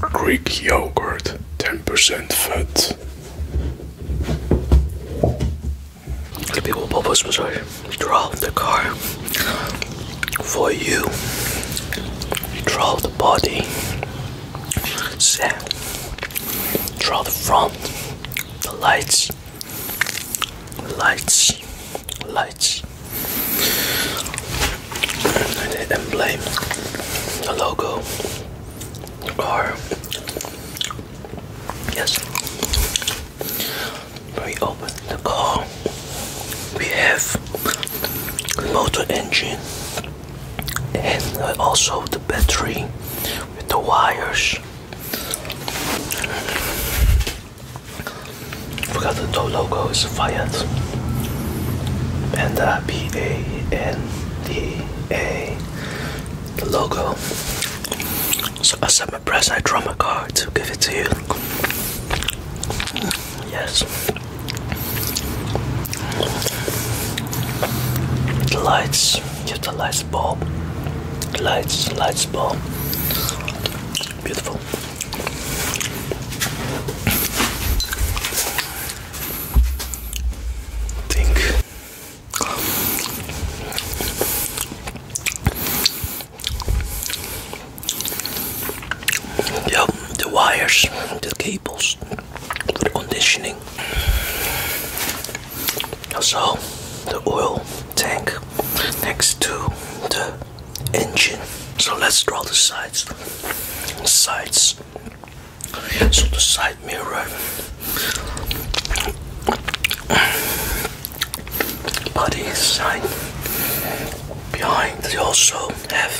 Greek yogurt, 10% fat. The people above us was like, drove the car for you. You the body, set, drove the front, the lights, lights, lights. And blame the logo, or yes, we open the car. We have motor engine and also the battery with the wires. Forgot the logo is a Fiat. Panda P A N D A logo. So I set my press, I draw my card to give it to you. Yes. The lights, give the lights bulb. Lights, lights bulb. Beautiful think yep, the wires, the cables for the conditioning. Also, the oil tank next to the engine. So let's draw the sides. Sides. So the side mirror. Body side. Behind they also have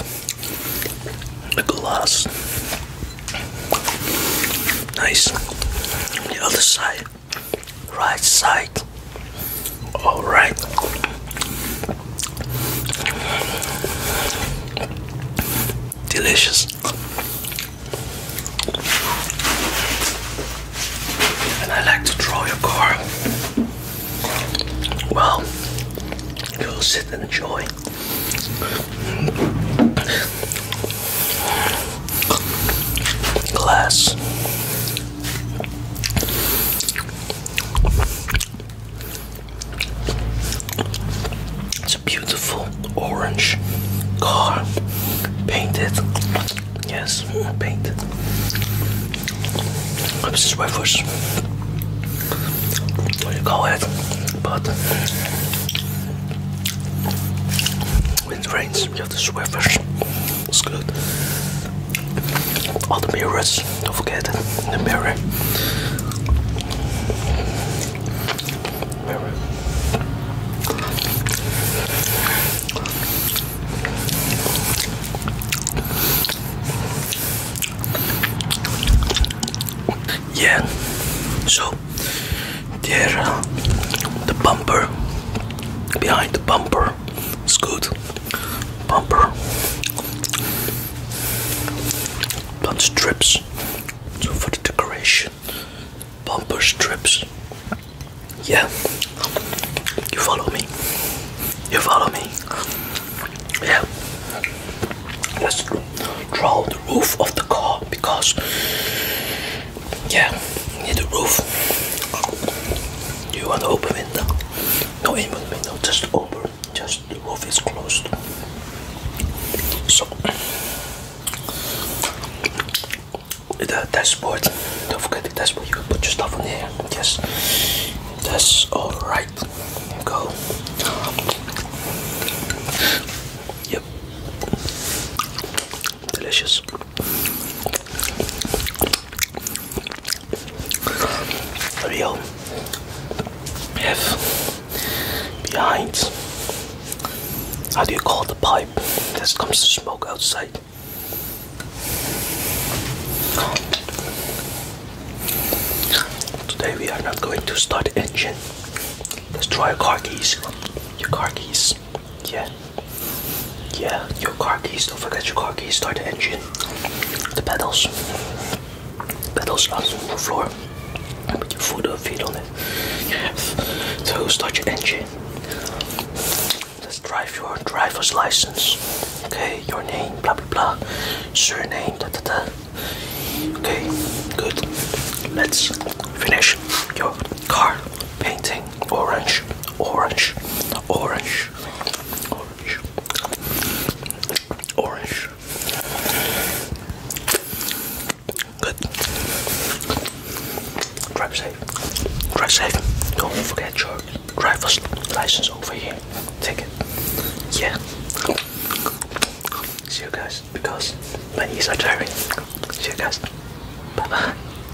a glass. Nice. The other side. Right side. All right. Delicious. And I like to draw your car. Well, go sit and enjoy. Glass. It's a beautiful orange car painted. Yes, painted. This wafers. What do you call it? But when it rains, you have the wafers. It's good. All the mirrors, don't forget the mirror. Mirror. Yeah, so there, uh, the bumper behind the bumper It's good bumper. Bump strips. So for the decoration, bumper strips. Yeah, you follow me. You follow me. Yeah. Let's draw the roof of the car because yeah, you need a roof. You want to open window. No even on me, just over. Just the roof is closed. So, the dashboard, don't forget the dashboard, you put your stuff on here. Yes, that's alright. Go. Yep. Delicious. We'll behind how do you call the pipe that comes to smoke outside? Today we are not going to start engine. Let's try car keys. Your car keys. Yeah. Yeah, your car keys. Don't forget your car keys. Start the engine. The pedals. Pedals on the floor. Put your foot or feet on it. Yes. So start your engine. Let's drive your driver's license. Okay, your name, blah blah blah. Surname, da da da. Okay, good. Let's finish your car painting orange, orange, orange, orange, orange. Good. Drive safe. Drive safe. Don't forget your driver's license over here. Take it. Yeah. See you guys because my knees are tired. See you guys. Bye bye.